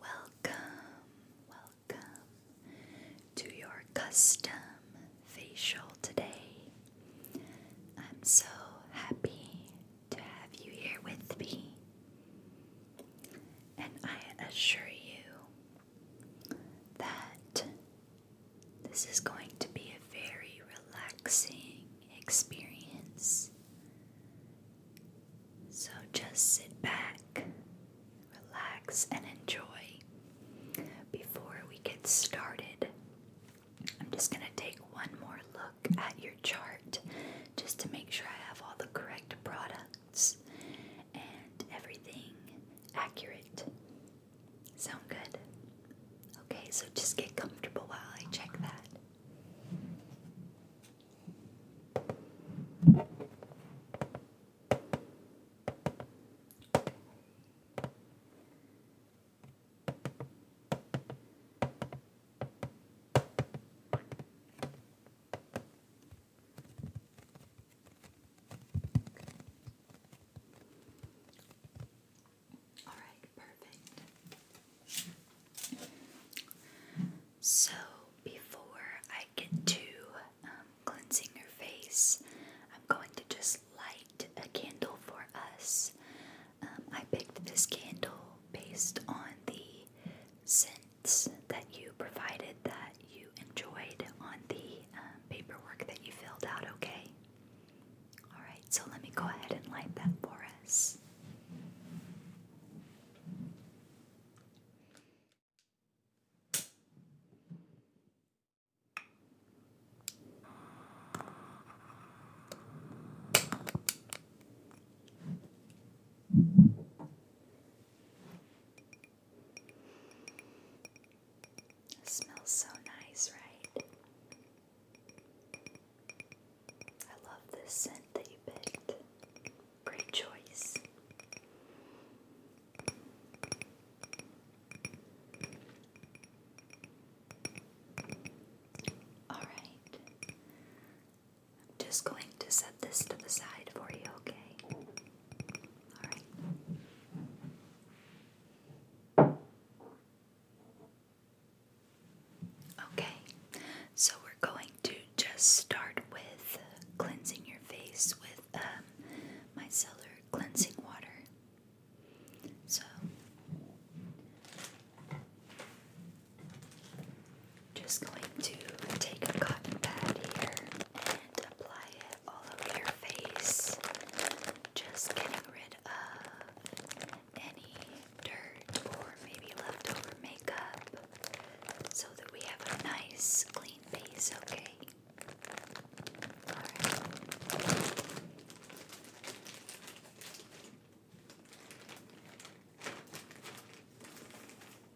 Welcome, welcome to your custom facial today. I'm so happy to have you here with me, and I assure you that this is going to be a very relaxing experience. So just sit back, relax, and enjoy. Before we get started, I'm just going to take one more look at your chart just to make sure I have all the correct products and everything accurate. Sound good? Okay, so just get comfortable while I check that. All right, perfect. So, before I get to um, cleansing your face, I'm going to just light a candle for us. Um, I picked this candle based on the scents that you provided that you enjoyed on the um, paperwork that you filled out, okay? Alright, so let me go ahead and light that for us. It smells so nice, right? I love this scent that you picked. Great choice. All right. I'm just going to set this to the side for you, okay? Okay, so we're going to just start with cleansing your face with my um, micellar cleansing water. So, just going to take a cotton pad here apply it all over your face, just getting rid of any dirt or maybe leftover makeup so that we have a nice clean face, okay?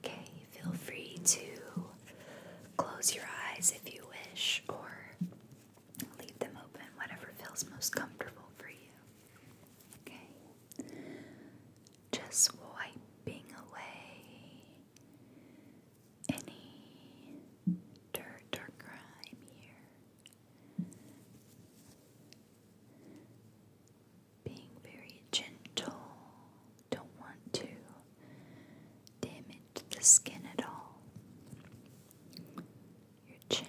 Okay, feel free to close your eyes if you wish or leave them open, whatever feels most comfortable for you. Okay, just wiping away any dirt or grime here being very gentle, don't want to damage the skin at all. Your chin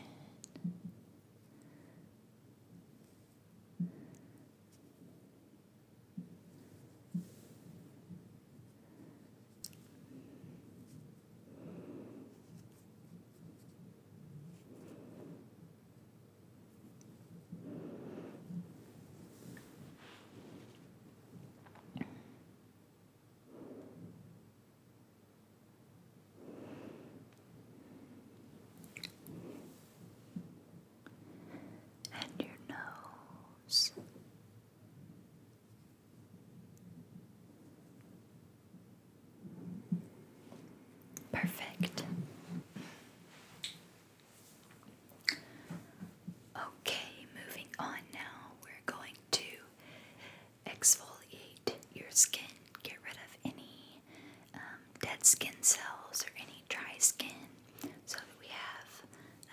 and your nose. Perfect. Okay, moving on now. We're going to exfoliate your skin, get rid of any um, dead skin cells or any dry skin so that we have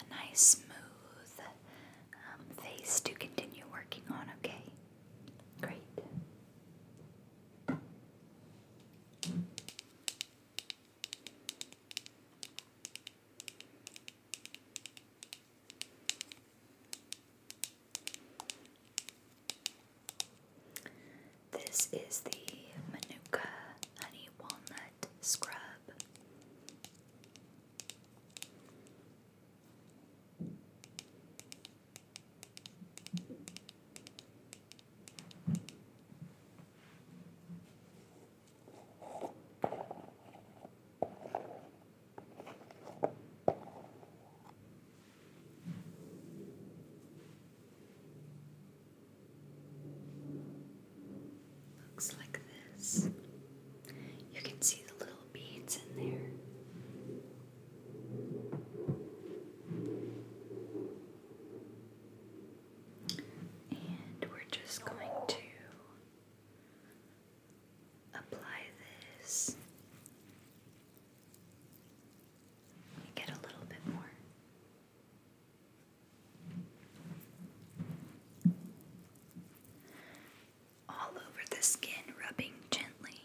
a nice, smooth um, face to continue working on, okay? Great. This is the Manuka Honey Walnut Scrub. Looks like this. You can see the little beads in there. And we're just going to apply this. get a little bit more all over the skin, rubbing gently.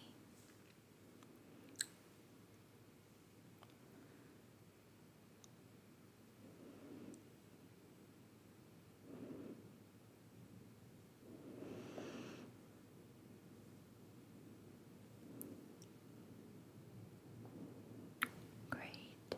Great.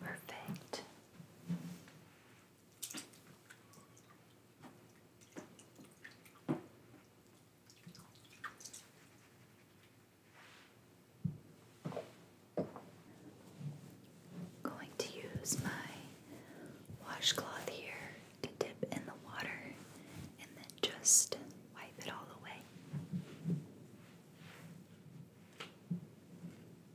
Perfect. going to use my washcloth here to dip in the water and then just wipe it all away.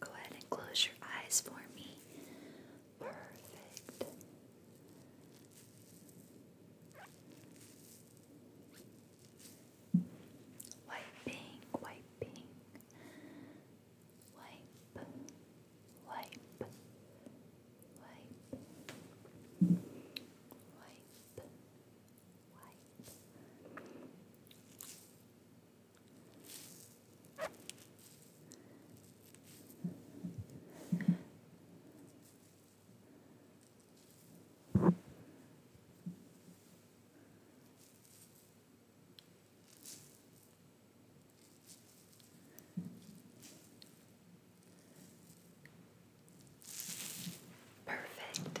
Go ahead and close your eyes for me. Perfect. Wiping, wiping. Wipe, wipe, wipe, wipe, white. Perfect.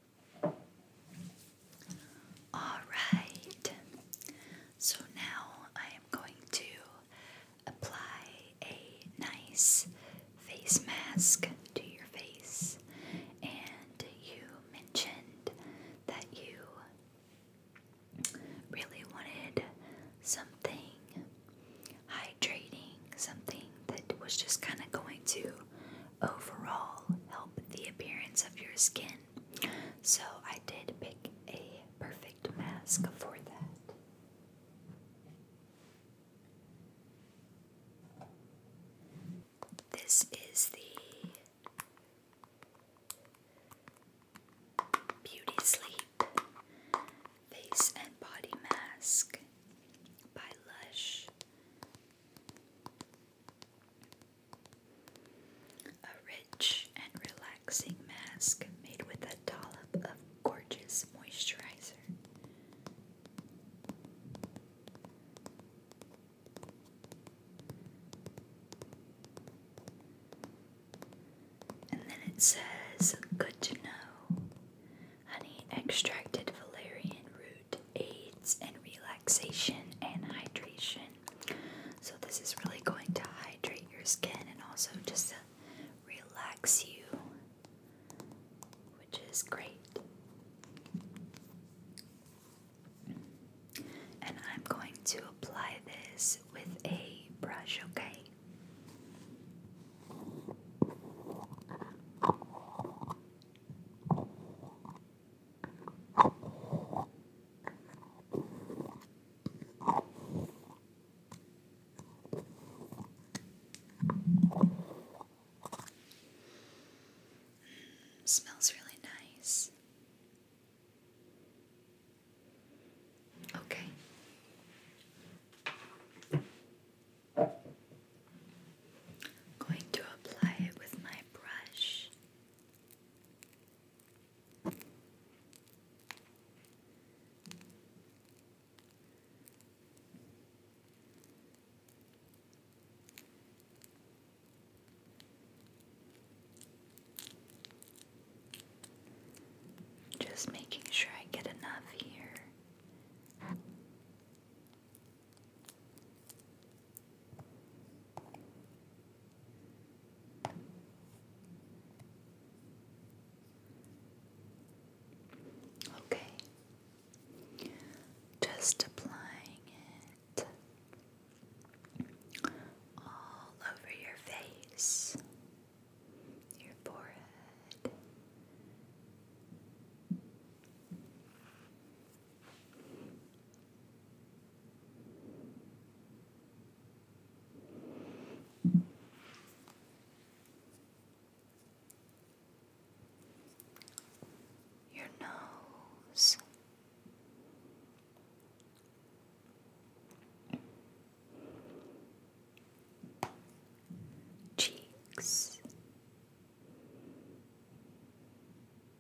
Alright, so now I am going to apply a nice face mask to your face. And you mentioned that you really wanted something hydrating, something that was just kind of going to overall help the appearance of your skin. So I did pick a perfect mask for that. This is the Beauty Sleep Face and Body Mask by Lush. A rich and relaxing mask made with a dollop of gorgeous moisturizer. And then it says, Good to know. Honey extracted valerian food aids in relaxation and hydration. So, this is really going to hydrate your skin and also just relax you, which is great. And I'm going to apply this with a brush, okay? Smells really nice. Okay going to apply it with my brush. Just making sure I get enough here. Okay, just applying it all over your face, your forehead. Your nose, cheeks,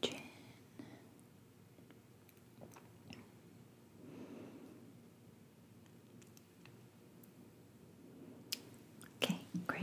Chin. Okay, great.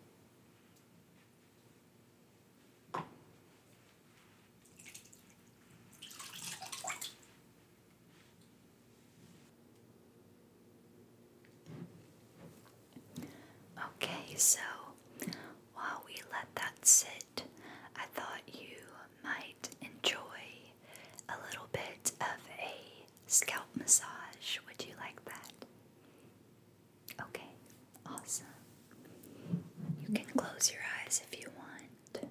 Okay, so while we let that sit, I thought you might enjoy a little bit of a scalp massage. Would you like that? Okay, awesome. You can close your eyes if you want.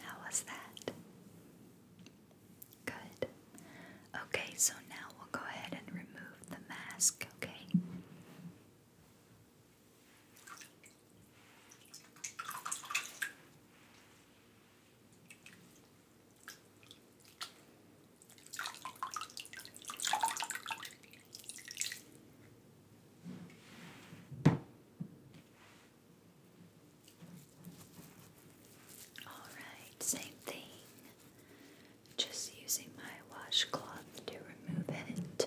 How was that? Good. Okay, so now we'll go ahead and remove the mask, okay? Alright, same thing. Just using my washcloth to remove it.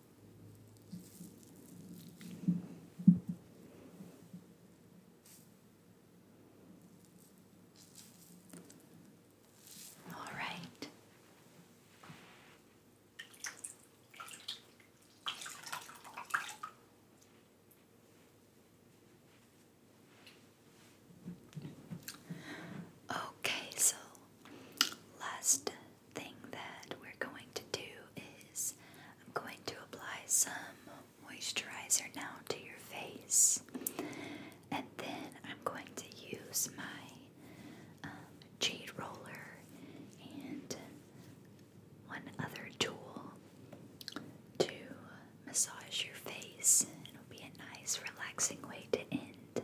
All right. Okay, so last thing that we're going to do is I'm going to apply some moisturizer now to your face, and then I'm going to use my um, jade roller and one other tool to massage your face. It'll be a nice, relaxing way to end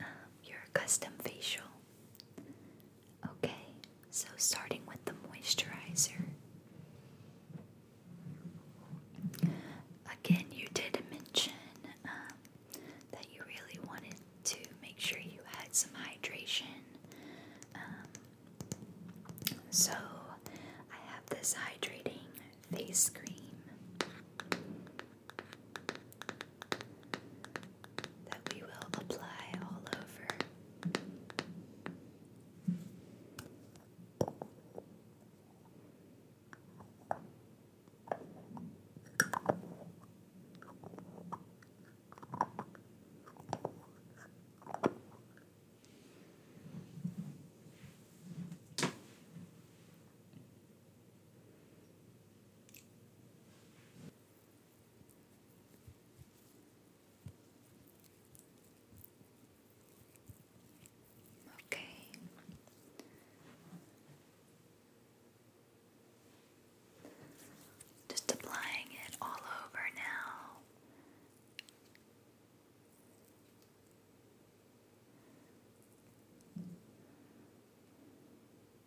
um, your custom facial. Okay, so starting with the moisturizer. Again, you did mention um, that you really wanted to make sure you had some hydration. Um, so, I have this hydrating face cream that we will apply all over. Okay. Just applying it all over now.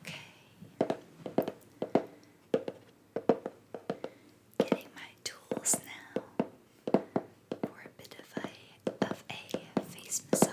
Okay. Getting my tools now for a bit of a of a face massage.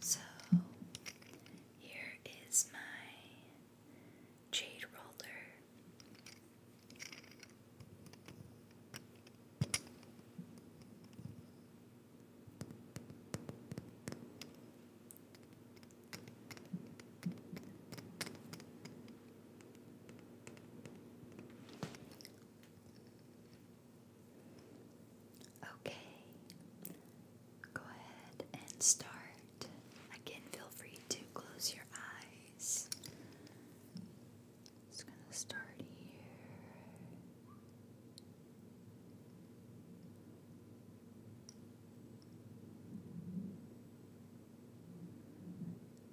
So here is my jade roller. Okay, go ahead and start. Again, feel free to close your eyes. Just gonna start here.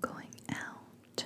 Going out.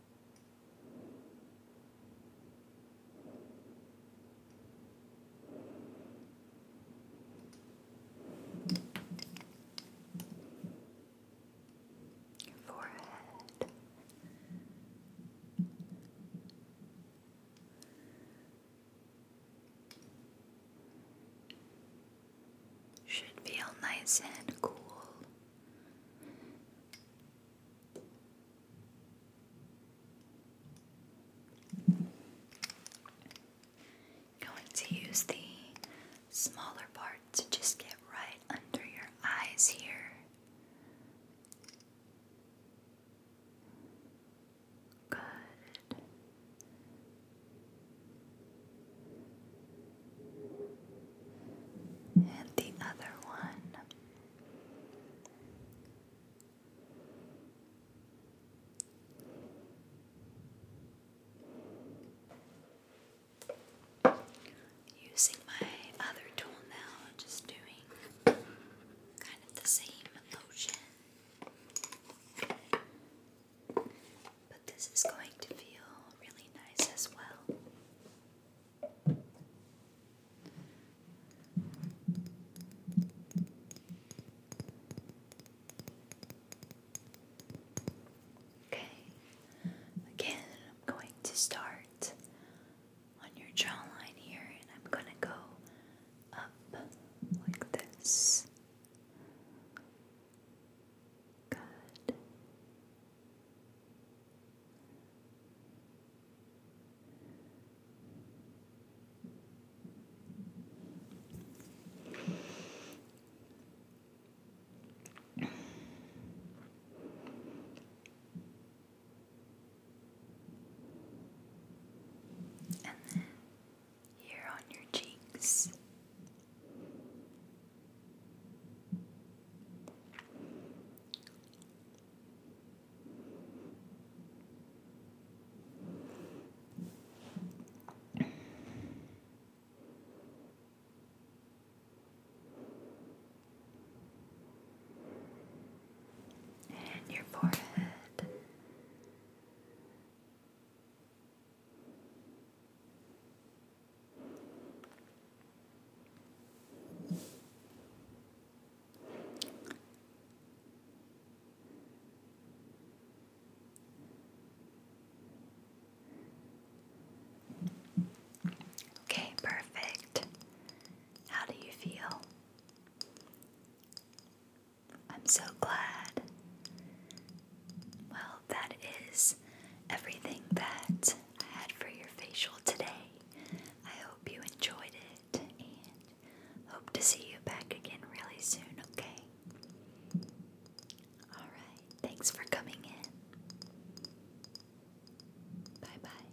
Your forehead. Should feel nice and cool going to use the smaller part to just get right under your eyes here. Good. And the other one. Using my other tool now, just doing kind of the same motion. But this is going to feel really nice as well. Okay, again, I'm going to start on your jawline here, and I'm going to go up like this. Good. And then here on your cheeks. And your forehead. Okay, perfect. How do you feel? I'm so glad. Well, that is everything that I had for your facial today. I hope you enjoyed it and hope to see you back again really soon, okay? Alright, thanks for coming in. Bye bye.